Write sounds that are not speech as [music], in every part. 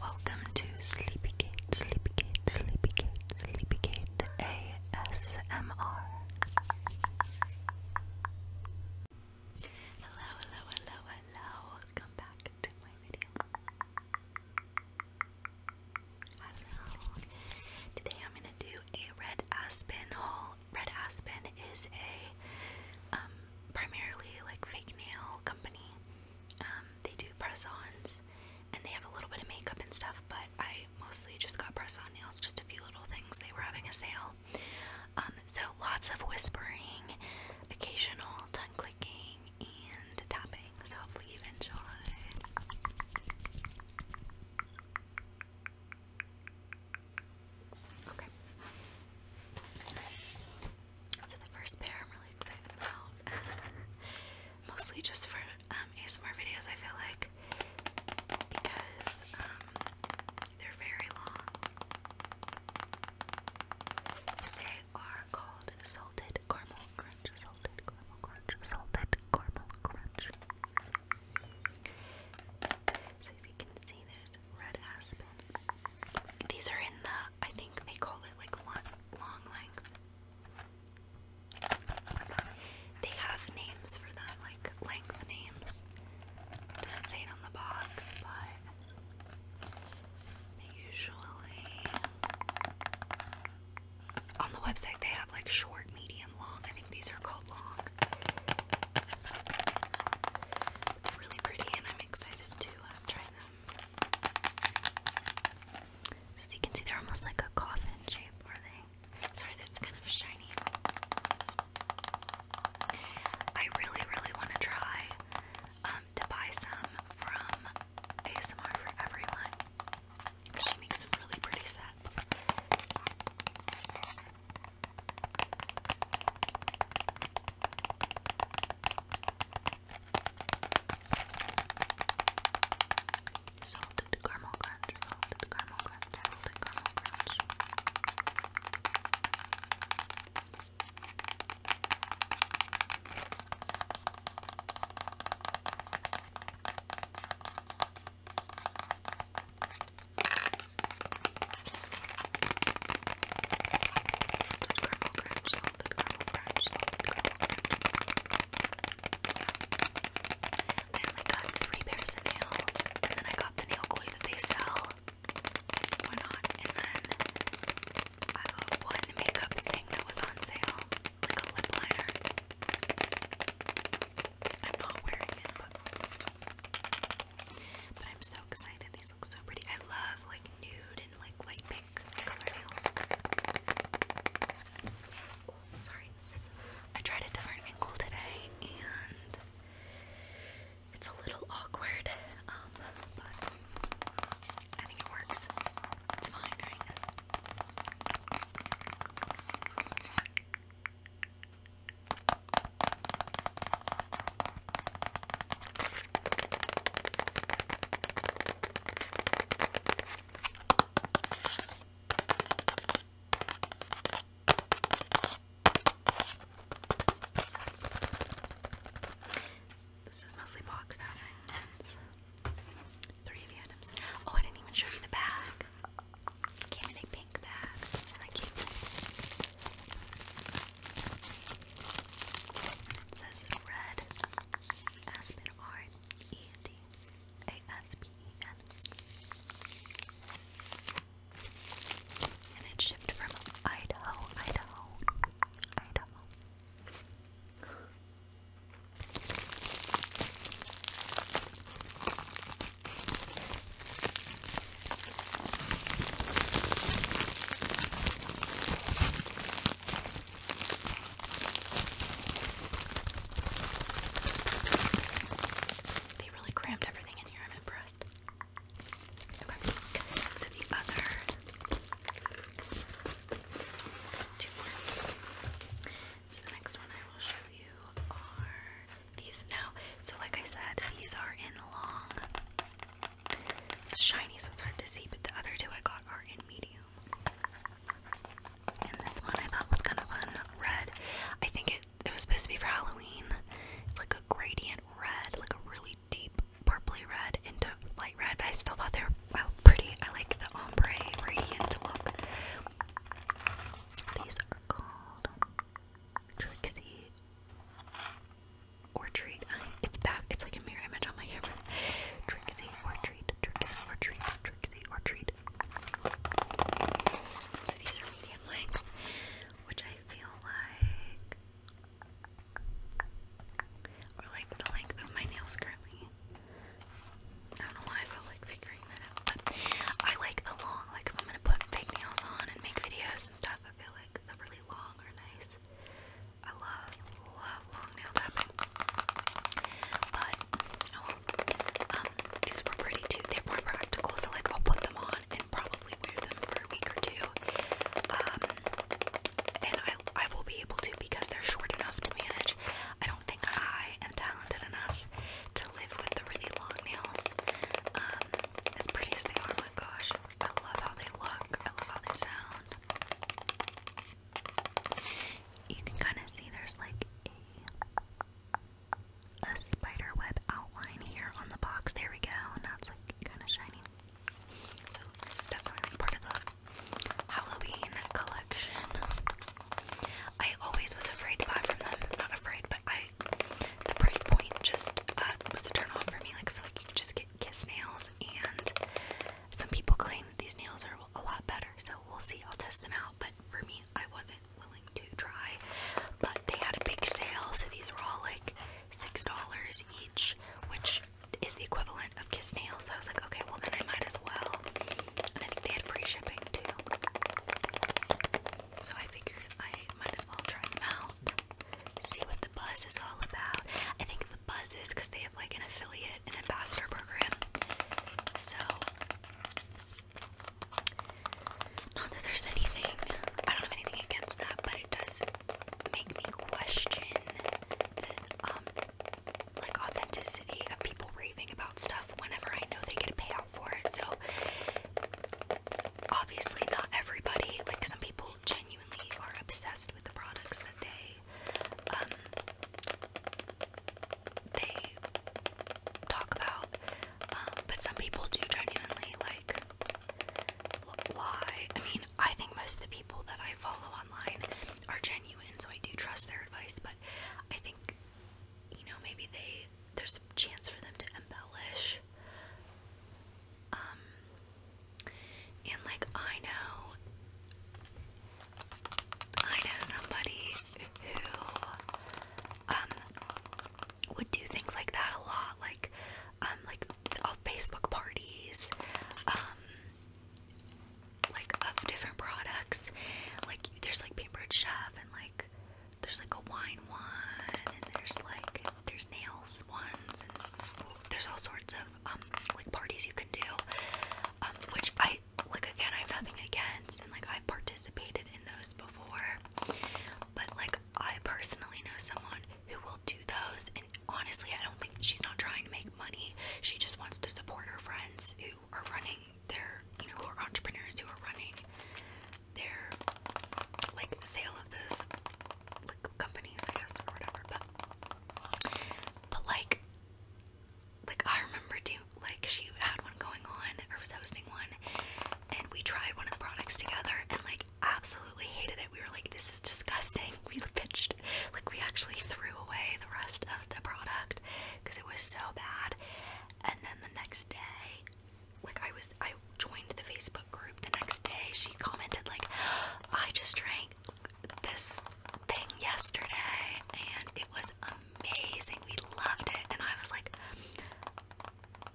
Welcome to Sleepygate, Sleepygate, Sleepygate, Sleepygate ASMR. Hello, hello, hello, hello. Welcome back to my video. Today I'm gonna do a red aspen haul. Red Aspen is a um, primarily like fake nail company. Um, they do press-ons, and they have a little bit of makeup and stuff, but I mostly just got press-on nails, just a few little things. They were having a sale. Um, so lots of whispering, occasional tongue clicking, and tapping, so hopefully you've enjoyed. Okay. So the first pair I'm really excited about. [laughs] Mostly just for um, ASMR videos, I feel like, because um, they're very long. So they are called Salted Caramel Crunch, Salted Caramel Crunch, Salted Caramel Crunch. So as you can see, there's red aspen. These are in the I think they call it like long, long length. They have names for them, like length names. doesn't say it on the box, but usually on the website they have like short, medium, long. I think these are called long. really pretty, and I'm excited to uh, try them. So you can see they're almost like a coffin shape, are they? Sorry, that's kind of shiny. I really, really want to try um, to buy some from ASMR for Everyone. She makes some really pretty sets. Salted caramel crunch, salted caramel crunch, salted caramel crunch. Salted caramel caramel crunch, I got three pairs of nails, and then I got the nail glue that they sell. Why not? And then I got one makeup thing that was on sale, like a lip liner. I'm not wearing it, but I'm so excited. These so pretty. I love like nude and like light pink color nails. Oh, sorry, this is. I tried a different angle today and it's a little awkward, um, but I think it works. It's fine, right? This is mostly boxed out items. Three of the items. Oh, I didn't even show you the bag. Came in a pink bag. Isn't that cute? It says red Aspen R E N D A S P E N. And it shipped from Idaho, Idaho, Idaho. They really crammed everything in here. I'm impressed. Okay, so the other two ones. So the next one I will show you are these now. So like I said, these are in long it's shiny, so it's hard to see, but the other two I got are in medium. And this one I thought was kind of fun. Red. I think it, it was supposed to be for Halloween. It's like a gradient red, like a really deep purply red into light red. I still thought they were well pretty. I like the ombre radiant look. These are called Trixie Orchard. It's back. It's like a mirror image on my camera. Trixie or treat, Trixie or treat, Trixie or treat. So these are medium length, which I feel like or like the length of my nails currently. I don't know why I felt like figuring that out, but I like the long, like if I'm gonna put fake nails on and make videos and stuff, I feel like the really long are nice. I love, love long nail But, oh um, these were pretty too. They're practical, so like I'll put them on and probably wear them for a week or two. Um, and I, I will be able to because they're short enough to manage. I don't think I am talented enough to live with the really long nails. Um, as pretty as they are, my gosh. I love how they look. I love how they sound. You can kind of see there's like a, a spider web outline here on the box. There we go. Now it's like kind of shiny. So this is definitely like part of the Halloween collection. I always was afraid to buy from them. Not afraid, but I the price point just uh, was a turn off for me. Like I feel like you just get kiss nails, and some people claim these nails are a lot better, so we'll see. I'll test them out, but for me, I wasn't willing to try. But they had a big sale, so these were all like six dollars each, which is the equivalent of kiss nails. So I was like, okay, well then I might as well. And they had free shipping too, so I figured I might as well try them out, see what the buzz is all about. I think the buzzes because they have like an affiliate and ambassador program. So not that there's anything I don't have anything against that, but it does make me question the um, like authenticity of people raving about stuff whenever I know they get a payout for it. So obviously not everybody, like some people genuinely are obsessed with the products that they um, they talk about, um, but some people do genuinely like lie. I mean, I think most of the people that I follow online are genuine, so I do trust their advice, but I think, you know, maybe they, there's a chance for them to embellish. Um, and like I know I know somebody who um, would do things like that a lot, like um like of Facebook parties, um like of different products. Like there's like Paintbrush Chef and like there's like a wine one and there's like there's nails ones and there's all sorts of um, like parties you can do um, which I like again I have nothing against and like I've participated in those before but like I personally know someone who will do those and honestly I don't think she's not trying to make money she just wants to support her friends who are running their you know who are entrepreneurs who are running their like sale of those like companies I guess or whatever but but like like I remember too like she had one going on or was hosting one and we tried one of the products together and like absolutely hated it. We were like this is disgusting. [laughs] We pitched like we actually threw away the rest of the product because it was so bad. And then the next day like I was I joined the Facebook group the next day she commented like I just drank this thing yesterday and it was amazing. We loved it. And I was like,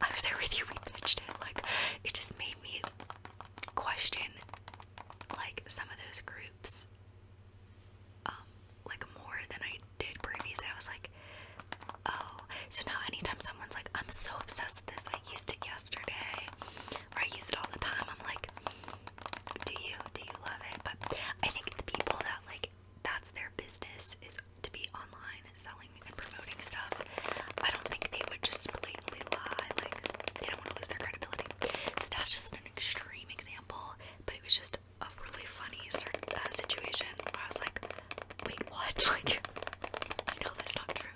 I was there with you. We pitched it. Like, it just made me question, like, some of those groups, um, like, more than I did previously. I was like, oh. So now, anytime someone's like, I'm so obsessed with this, I used it yesterday, or I use it all the time, I'm like, do you do you love it? But I think the people that like that's their business is to be online selling and promoting stuff. I don't think they would just blatantly lie, like they don't want to lose their credibility. So that's just an extreme example, but it was just a really funny uh, situation where I was like, wait, what? [laughs] Like, I know that's not true.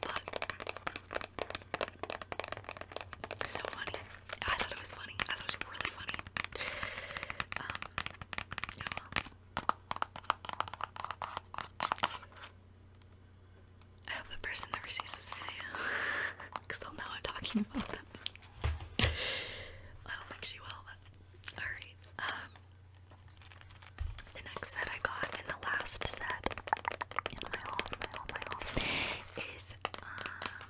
But so funny. I thought it was funny. I thought it was really funny. Um, I hope the person never sees this video. Because [laughs] they'll know I'm talking about them. I don't think she will, alright. Um, the next set I got in the last set in my haul, my haul, my haul is um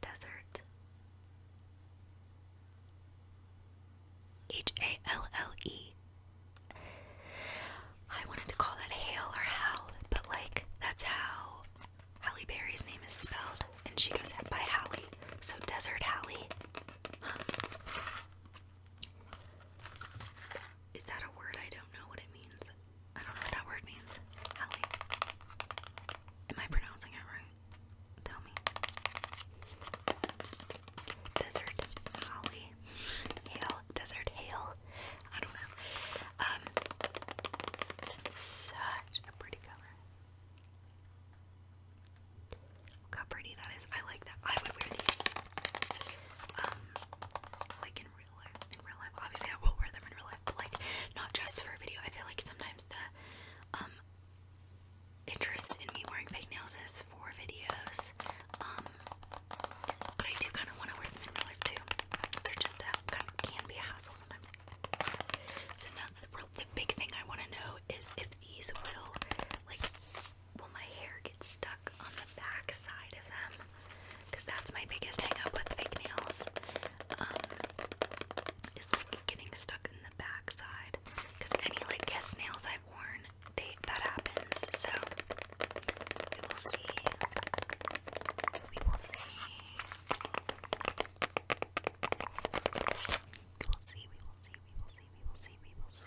desert H A L L E. I wanted to call that Hale or Hal, but like that's how Halle Berry's name is spelled, and she goes by Hallie, so Desert Hallie. Huh. Is that a word? I don't know what it means. I don't know what that word means. Hallie. Am I pronouncing it right? Tell me. Desert Holly. Hail. Desert Hail. I don't know. Um such a pretty color. how pretty that is. I like that. I would wear these. Um like in real life. In real life, obviously, I will wear them in real life, but like not just for a video. I feel like sometimes the um, interest in me wearing fake nails is for videos. Um, but I do kind of want to wear them in real life too. They're just uh, kind of can be a hassle sometimes. So now the big thing I want to know is if these will like will my hair get stuck on the back side of them because that's my biggest hang up with fake nails. Um, like getting stuck in the back Because any like kiss nails I've worn, that happens. So We will see, we will see, we will see, we will see, we will see.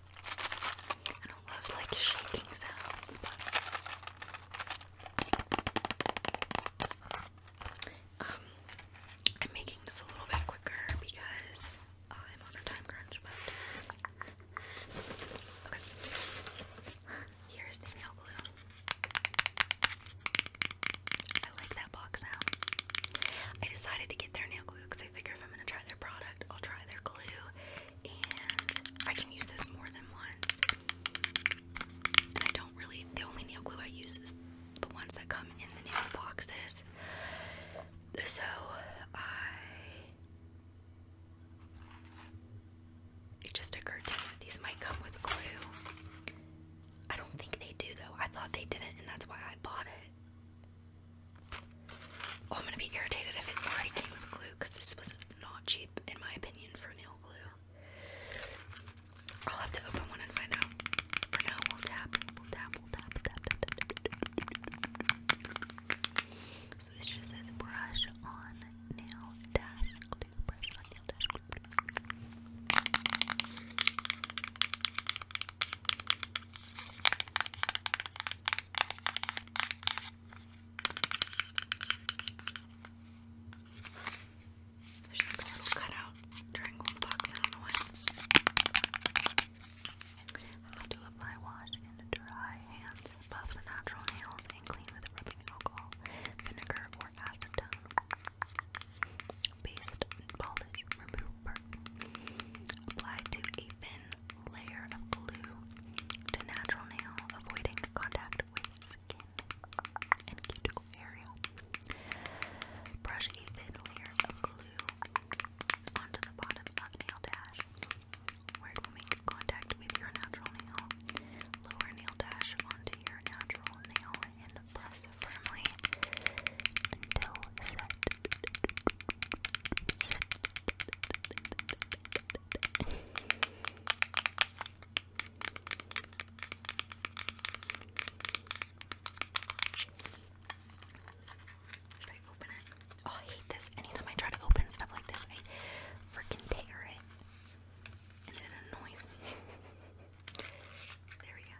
I love like shaking sounds, um, I'm making this a little bit quicker because I'm on a time crunch. But here's the nail glue. I like that box now. I decided to get their nail glue because I figure if I'm gonna try their product, I'll try their glue and I can use this more than once. And I don't really, the only nail glue I use is the ones that come in the nail boxes. So It just occurred to me these might come with glue. I don't think they do though. I thought they didn't, and that's why I bought it. I'm gonna be irritated if it already came with glue because this was not cheap, in my opinion, for nail glue. I'll have to open one and find out. For now, we'll tap, we'll tap, we'll tap, tap, tap, tap. So this just says brush on nail dash glue, brush on nail dash glue. There's like a little cutout triangle box, I don't know why. How to apply wash and dry hands, buff the natural nails, and clean with rubbing alcohol, vinegar, or acetone. Paste polish, remove Apply to a thin layer of glue to natural nail, avoiding contact with skin and cuticle area. Brush a thin layer of glue onto the bottom of nail dash, where it will make contact with your natural nail. Lower nail dash onto your natural nail and press firmly until set. Should I open it? Oh, I hate this. Anytime I try to open stuff like this, I freaking tear it. And it annoys me. there we go.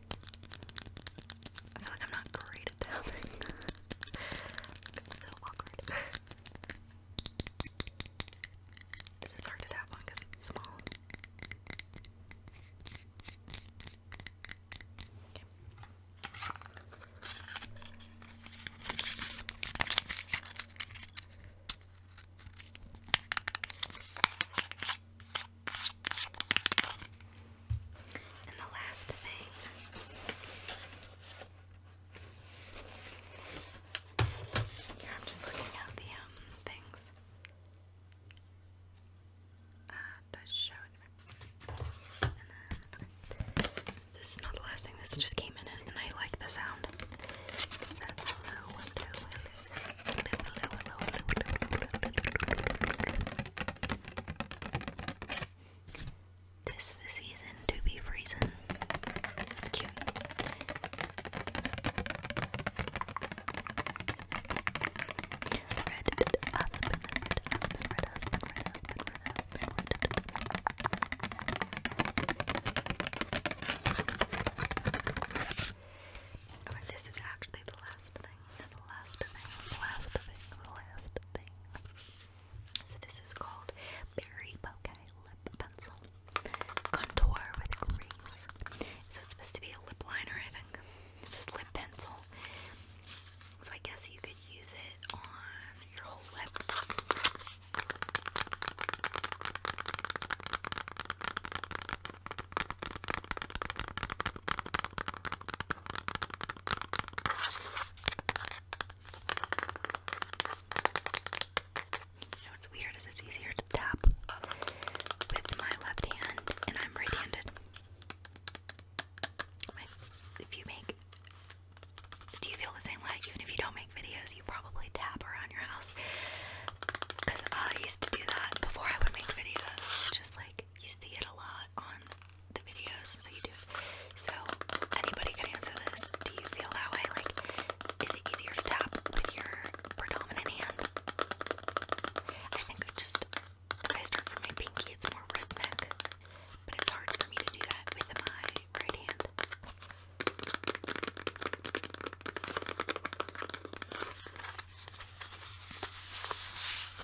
I feel like I'm not great at tapping. [laughs] so awkward. this is hard to tap on it's small. Okay, and the last thing here I'm just looking at the um things. Uh did show And then This is not the last thing, this just came in and I like the sound. This the season to be freezing. That's cute. Red husband, red husband, red husband, red red husband, red this is actually the last of thing, the last thing, last thing, last thing. So this is called Berry Poke Lip Pencil. Contour with grease. So it's supposed to be a lip liner, I think. This is lip pencil. So I guess you could use it on your whole lip. You know what's weird is it's easier to tap with my left hand, and I'm right-handed. If you make, do you feel the same way? Even if you don't make videos, you probably tap around your house. Cause I used to do that before I would make videos. Just like you see it a lot, on the videos, so you do So anybody can answer this. Do you feel that way? Like, is it easier to tap with your predominant hand? I think I just I start from my pinky. It's more rhythmic, but it's hard for me to do that with my right hand.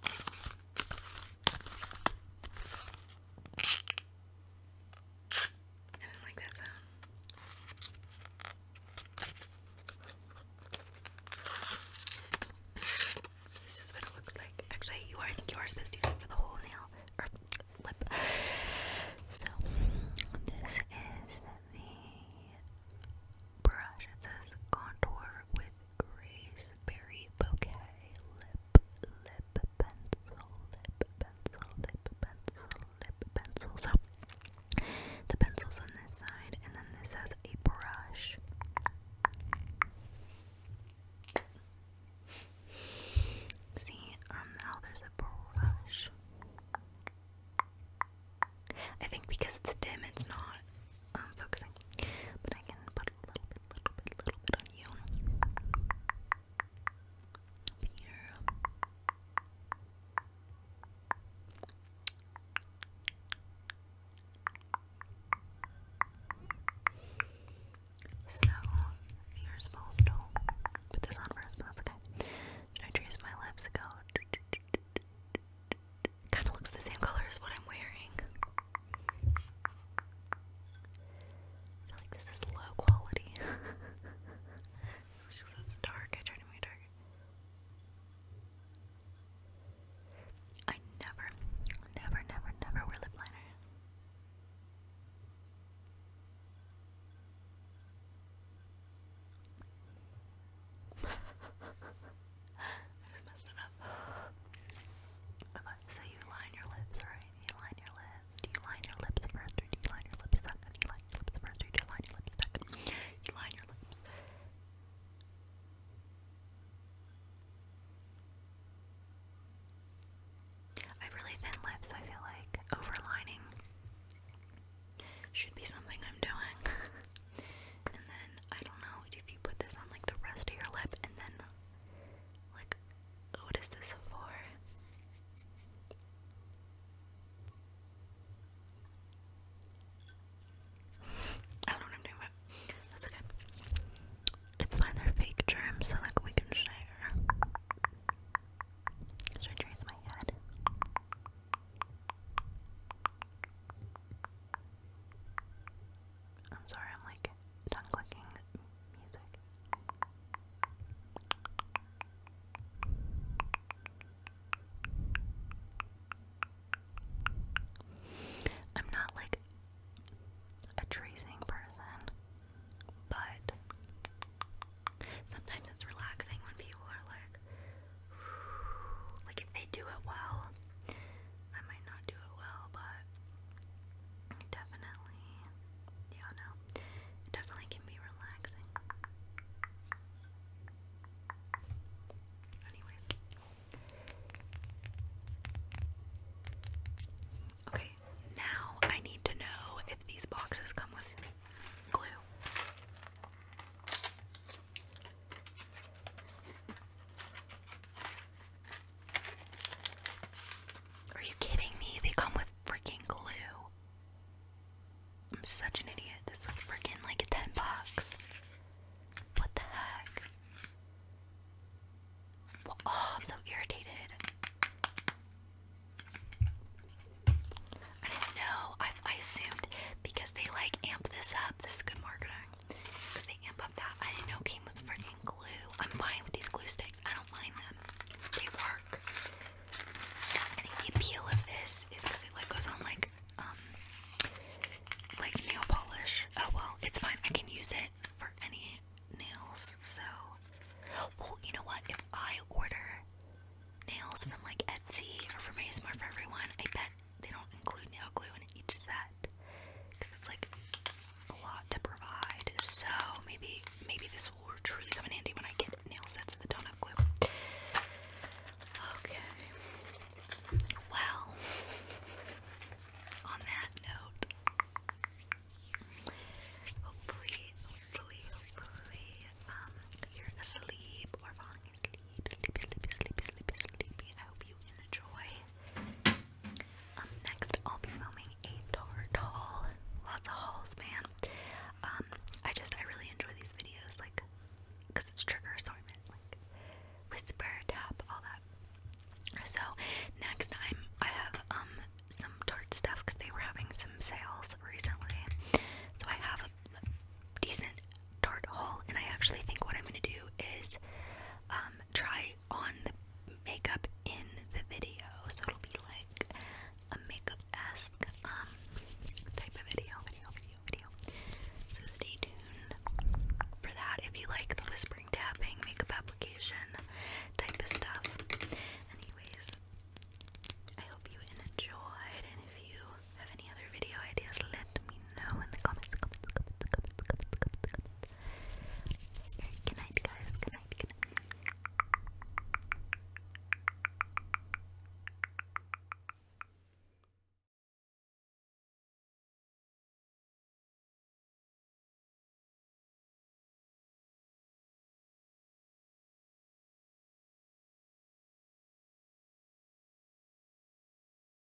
I didn't like that sound. So this is what it looks like. Actually, you are. I think you are supposed to use it for the whole nail or lip. So this is the Brush this contour with Graceberry Bouquet Lip, Lip Pencil, Lip Pencil, Lip Pencil, Lip Pencil. So the pencil's on this side, and then this has a brush. See um how there's a brush. I think because it's dim, it's not um, focusing. But I can put a little bit, little bit, little bit on you. Up here. So, here's Postal. Put this on first, but that's okay. Should I trace my lips? Go. Kind of looks the same color as what I'm wearing. feel like this is low quality. [laughs] it's just it's dark. I try to make it dark. I never, never, never, never wear lip liner. [laughs] I just messed up. so you line your lips, right? You line your lips. Do you line your lips first or do you line your lips second? You line your lips first or do you line your lips second? You line your lips. I have really thin lips, I feel like overlining should be something I'm doing. [laughs] And then I don't know if you put this on like the rest of your lip and then like what is this for? [laughs] I don't know what I'm doing, but that's okay. It's fine, they're fake germs, so like we can share. Should I trace my head? I'm sorry, I'm like tongue clicking music. I'm not like a tracing person, but sometimes it's relaxing when people are like, like if they do it well, I might not do it well, but definitely, yeah, no, definitely can be relaxing. Anyways, okay, now I need to know if these boxes come with glue. Are you kidding me? They come with freaking glue. I'm such an idiot. This was freaking like a 10 bucks. What the heck? oh, I'm so irritated. I didn't know. I assumed because they like amp this up. This is good marketing. Because they amp up that. I didn't know came with freaking glue. I'm fine with these glue sticks. I don't mind them. They work. I think the appeal of this is because it like goes on like um like nail polish. Oh well, it's fine. I can use it for any nails. So well, you know what? If I order nails from like Etsy or from ASMR for everyone, I bet they don't include nail glue in each set because it's like a lot to provide. So maybe maybe this will truly come in handy when I get nail sets that don't have glue. Okay. Well, on that note, hopefully, hopefully, hopefully, um, you're asleep or falling asleep, sleepy, sleepy, sleepy, sleepy, sleepy. I hope you enjoy next, I'll be filming a dart haul. Lots of hauls, man. Um, I just, I really enjoy these videos, like, because it's trigger assortment, like, whisper, tap, all that. So, next time, I have, um, some tart stuff, because they were having some sales recently. So, I have a decent Tarte haul, and I actually think what I'm gonna do is um, try on the makeup in the video, so it'll be like a makeup-esque um, type of video, video, video, video. So stay tuned for that if you like the whispering, tapping, makeup application type of stuff. Anyways, I hope you enjoy, and if you have any other video ideas, let me know in the comments, good night guys, good night.